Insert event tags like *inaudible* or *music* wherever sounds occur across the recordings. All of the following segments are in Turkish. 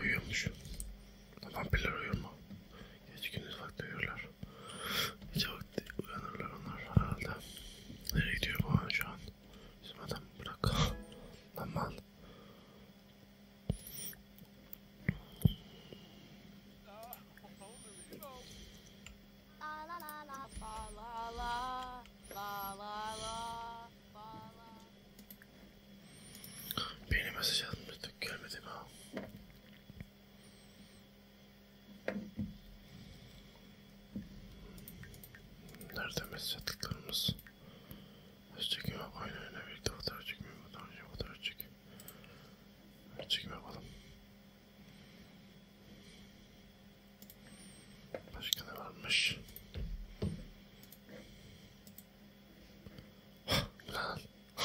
Uyuyormuş. Vampirler uyuyor mu? Gece gündüz vakti uyuyorlar. Gece vakti saatte uyanırlar onlar herhalde. Nereye gidiyor bu an şu an? Bizim adam bırak. *laughs* Lan mal. Beni mesaj atmıştık görmedim ha. Nerede mesaj attıklarımız? Öz çekimi yap aynı öne birlikte fotoğraf çekmeyi fotoğraf çekmeyi fotoğraf çekmeyi. Öz çekimi yapalım. Başka ne varmış? Lan. *laughs*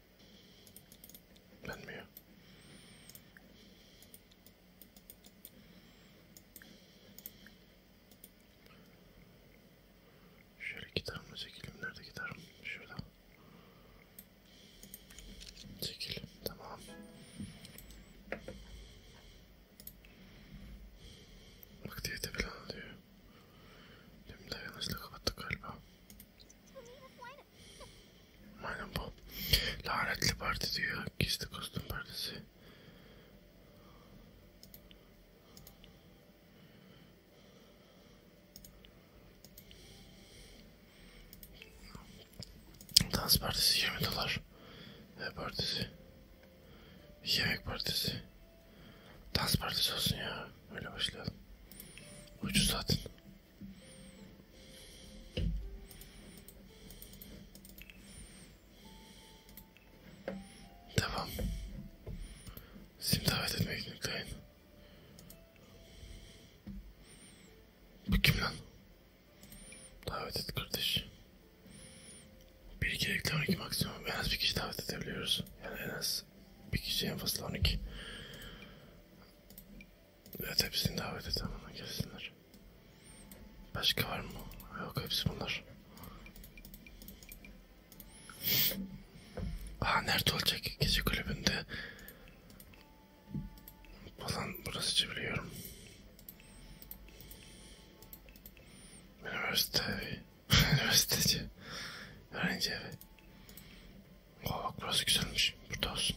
Dönmüyor. Şöyle gitarımla çekelim. Nerede gitarım? Şurada. Çekil. Tamam. Aktivite planı diyor. Tüm dayanışla kapattık galiba. Aynen bu. Lanetli parti diyor. Gizli kostüm partisi. Dans partisi 20 dolar. Ne partisi? Yemek partisi. Dans partisi olsun ya. Öyle başlayalım. Ucuz zaten. Tamam. Sim davet etmek yükleyin. Bu kim lan? Davet et kardeş. Bir iki reklam iki maksimum. En az bir kişi davet edebiliyoruz. Yani en az bir kişi en fazla 12. Evet hepsini davet et ama gelsinler. Başka var mı? Yok hepsi bunlar. Aa nerede olacak? Gece kulübünde falan burası biliyorum. Üniversite evi. *laughs* Üniversiteci. Öğrenci evi. Oh, bak burası güzelmiş. Burada olsun.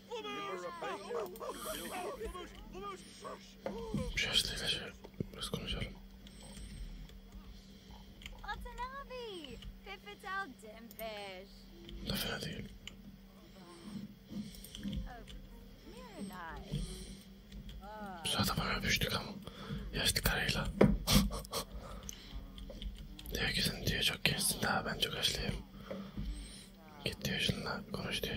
Şaşlı kaçalım. Biraz konuşalım. Atın abi. Pippet out Dimfish. Da fena değil. Biz adama öpüştük ama. Yaşlı karıyla. *laughs* diyor ki sen diyor çok gençsin daha ben çok yaşlıyım. Git diyor şununla konuş diyor.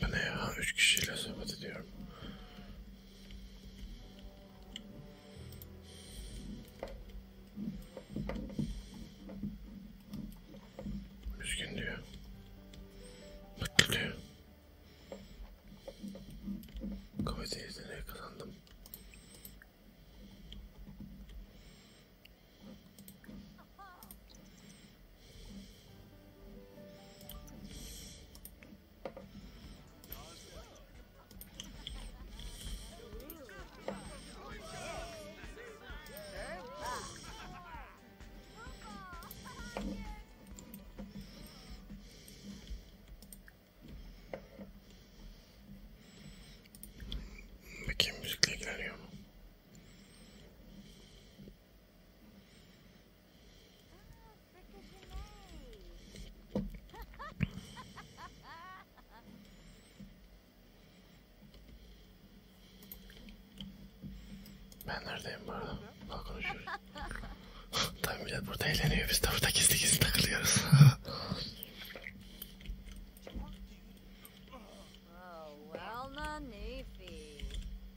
Bu ne ya? Üç kişiyle sohbet ediyorum. Üzgün diyor. Mutlu diyor. Komedi yeteneği kazandım. Bakayım müzikle ilgileniyor mu? Ben neredeyim bu arada? Daha konuşuyoruz. *laughs* Tabii millet burada eğleniyor. Biz de burada gizli gizli takılıyoruz. *laughs* Oh,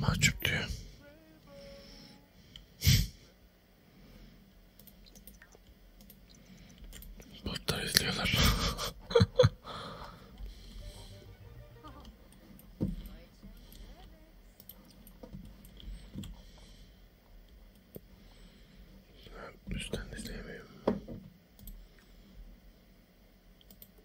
Mahcup diyor. *laughs* Botlar izliyorlar. *laughs* Üstten izleyemiyorum.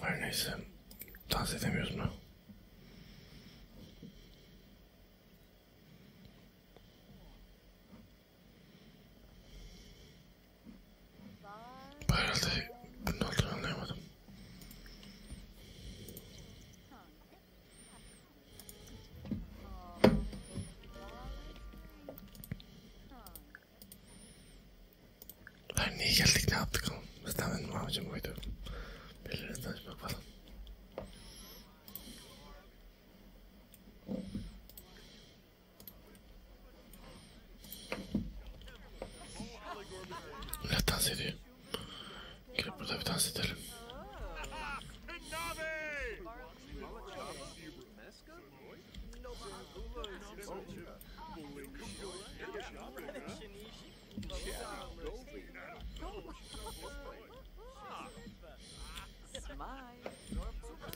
Her neyse. Dans edemiyoruz mu? Herhalde bunun olduğunu anlayamadım. Her niye geldik ne yaptık oğlum? Zaten benim amacım oydu. Birilerine tanışmak falan. Millet dans ediyor. Gelip burada bir dans edelim.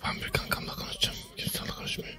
Ben bir kankamla konuşacağım. Kimseyle konuşmuyor.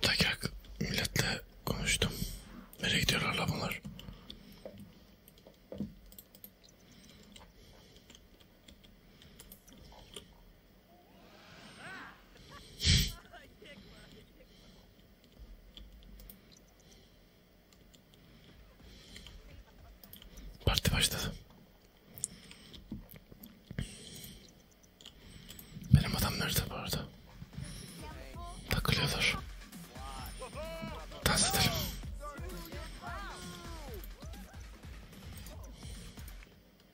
Bir dakika milletle konuştum. Nereye gidiyorlar la bunlar? Parti başladı. Benim adam nerede bu arada? Takılıyorlar. Dans edelim.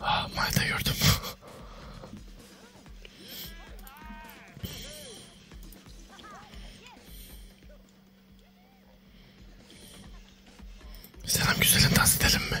Ah, Mayda gördüm. *laughs* Selam güzelim dans edelim mi?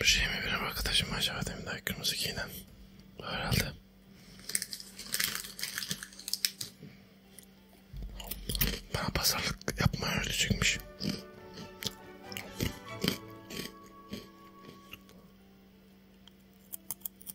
Bir şey mi benim arkadaşım acaba demin daha kırmızı giyinen? Herhalde. Bana pazarlık yapmayı öğretecekmiş.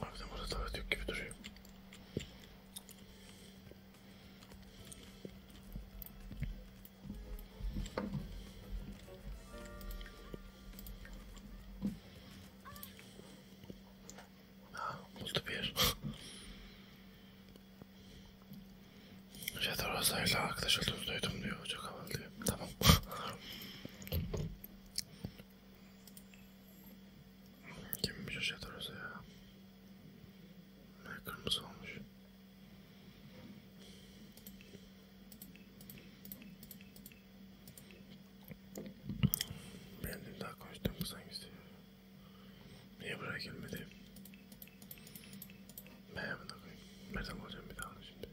Harbiden burada tuvalet yok gibi duruyor. Ha, buldu bir yer. Jeter *laughs* Rosa'yla arkadaş olduğunu duydum diyor. Çok havalı diyor. Tamam. *laughs* Kimmiş o şeyler orası ya? Ne kırmızı olmuş. Benim daha konuştuğum kız hangisi? Niye buraya gelmedi? Ben hemen koyayım. Nereden bulacağım bir daha şimdi?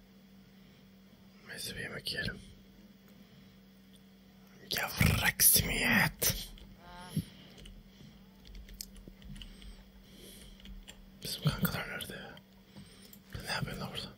Neyse bir yemek yiyelim. Yavrak simiyet. Bizim kankalar nerede ya? Ne yapıyorlar orada?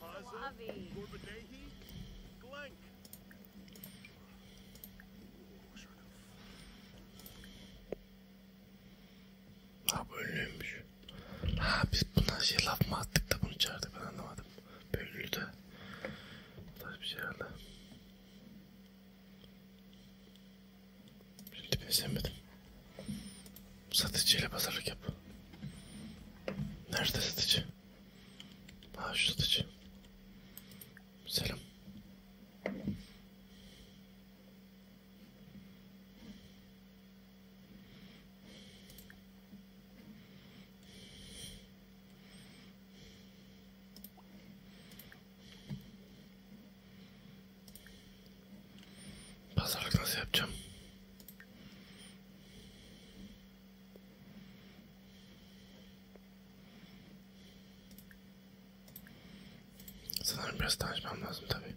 Paza, Gorbadehi, Glenk. Ha bölünmüş. Ha biz buna şey laf mı attık da bunu çağırdık ben anlamadım. Bölünü de. Bu tarz bir şey herhalde. Şimdi ben sevmedim. Satıcıyla pazarlık yap. Nerede satıcı? Ha şu satıcı. Selam. Pazarlık nasıl yapacağım? Sanırım biraz tanışmam lazım tabii.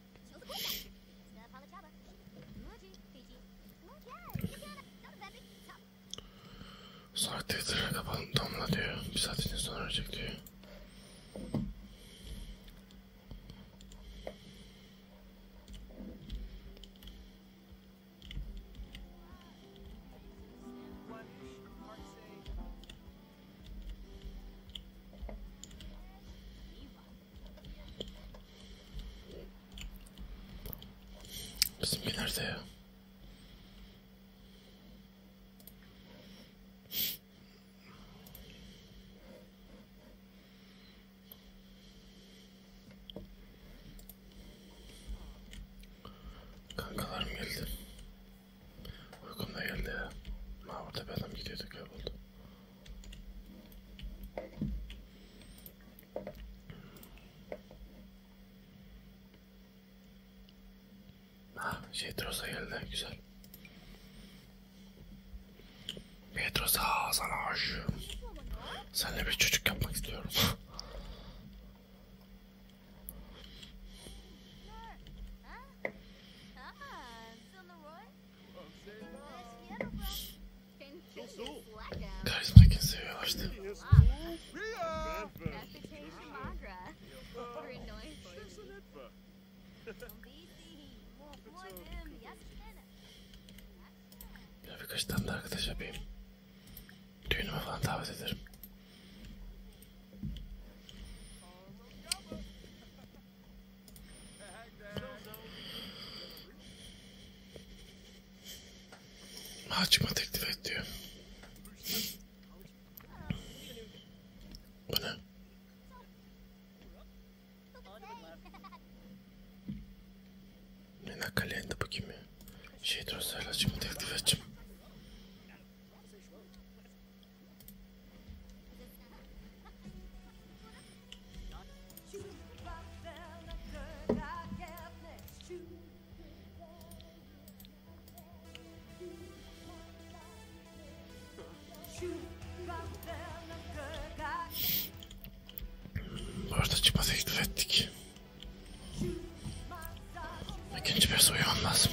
Sahte itiraf kapalı damla diyor. Bir saat için sonra ölecek diyor. Bizimki nerede ya? Kankalarım geldi. Uykum da geldi ya. Ha orada bir adam gidiyordu kayboldu. Ha, şey Trosa geldi. Güzel. Petros ha sana aşığım. Seninle bir çocuk yapmak istiyorum. *laughs* Karizmakin seviyor açtı. Ya birkaç tane de arkadaş yapayım. Düğünüme falan davet ederim. Açma teklif et diyor. Bu ne? Ne nakalende bu kimi? Şey dostlar açma teklif edeceğim. Orada çıkma teklif ettik. İkinci bir uyumam lazım.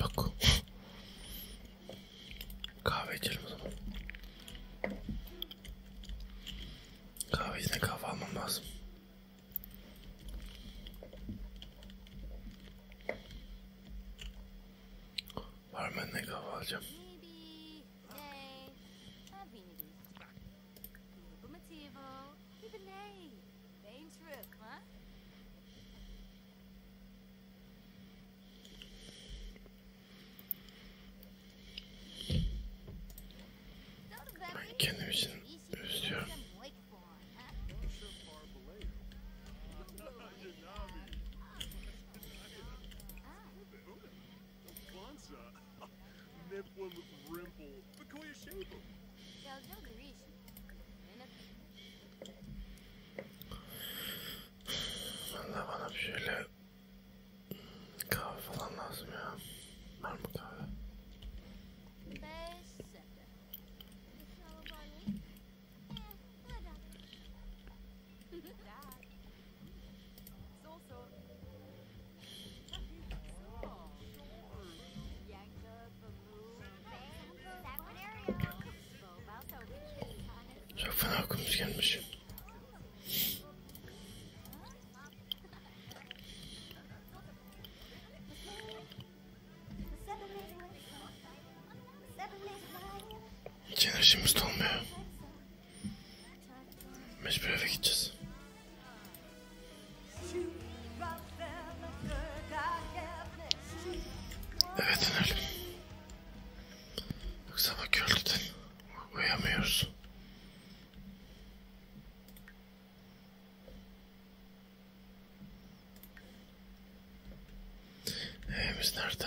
Yok. Kahve içelim o zaman. Kahve içine kahve almam lazım. Barmenle kahve alacağım. Ben kendim için üzülüyorum. Kwanzaa, *laughs* Nipwim Rimple, Bakoya Shaper. Valla bana bir şöyle kahve falan lazım ya. Var mı kahve? Çok fena okumuş gelmiş. Hiç enerjimiz dolmuyor. Mecbur eve gideceğiz. Evet inelim. Yoksa bak öldüden uyuyamıyoruz. Evimiz nerede?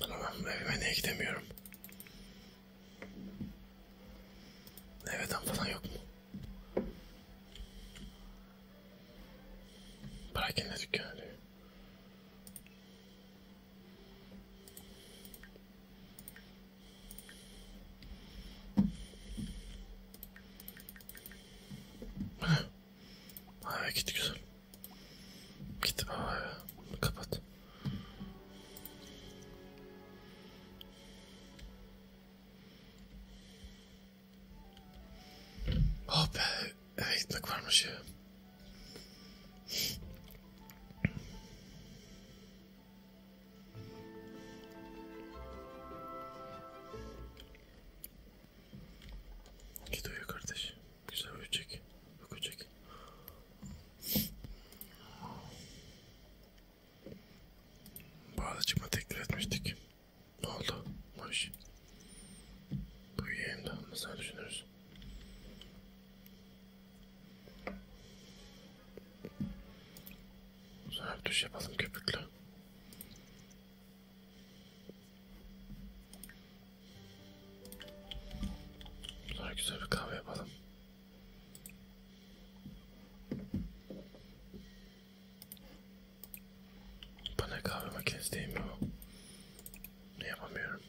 Anam evime niye gidemiyorum? Eveden falan yok mu? Perakende dükkanı diyor. Abi gitti güzel. Gitti abi. Kapat. Oh be. Eve gitmek varmış ya. Git uyu kardeş. Güzel uyuyacak. Bakacak. Bağlıcıma teklif etmiştik. Ne oldu? Hoş. Uyuyayım da nasıl düşünürüz? Sonra duş yapalım köpüklü. Bunlara güzel bir kahve yapalım. Bana kahve makinesi değil mi o? Ne yapamıyorum.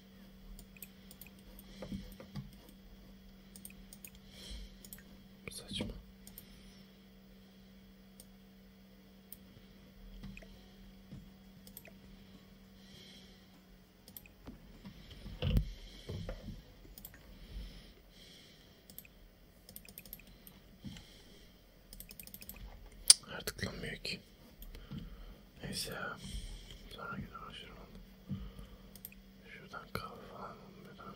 Saçma. Tıklanmıyor ki. Neyse. Sonra gider uğraşırım. Şuradan kahve falan bulmuyor.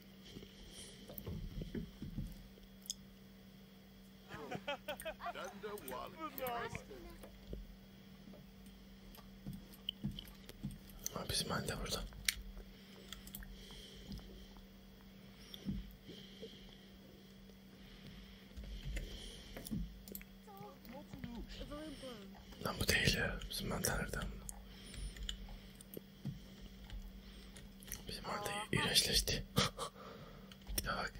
Ha, bizim halde burada. Lan bu değil ya. Bizim mantarlardan. Bizim orada iğrençleşti. bir *laughs* daha bak.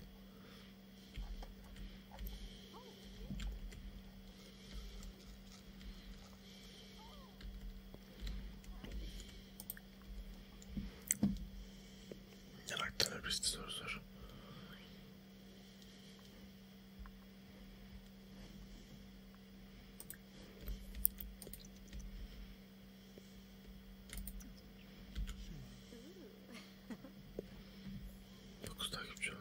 Yanaktan öpüştü soru soru. Dokuz takipçi oldu.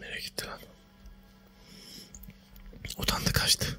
Nereye gitti lan? Utandı kaçtı.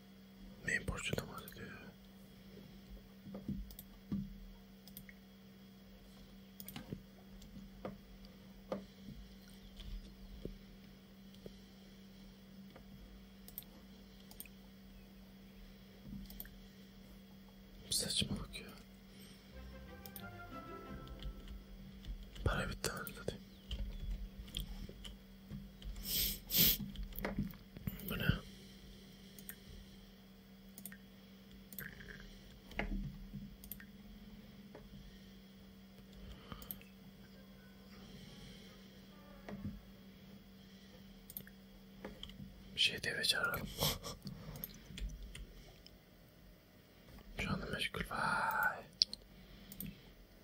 Neyin borcundan bahsediyor ya? Saçmalık ya. Para bitti anladın. Bu ne? Bir şey deve çağıralım. Şu anda meşgul. Vay.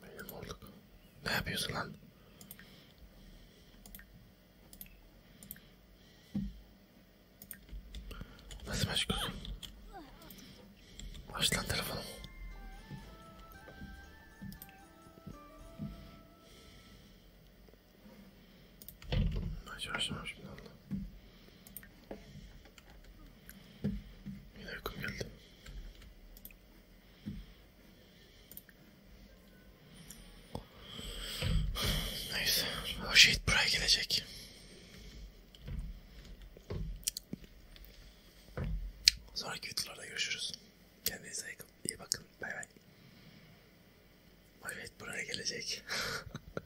Benim olduk. Ne yapıyorsun lan? Nasıl meşgulsün? Aç lan telefonu. Aç aç aç şimdi Allah. Yine uykum geldi. Neyse. O şehit buraya gelecek. Sonraki videolarda görüşürüz. Kendinize iyi bakın. Bay bay. O şehit buraya gelecek. *laughs*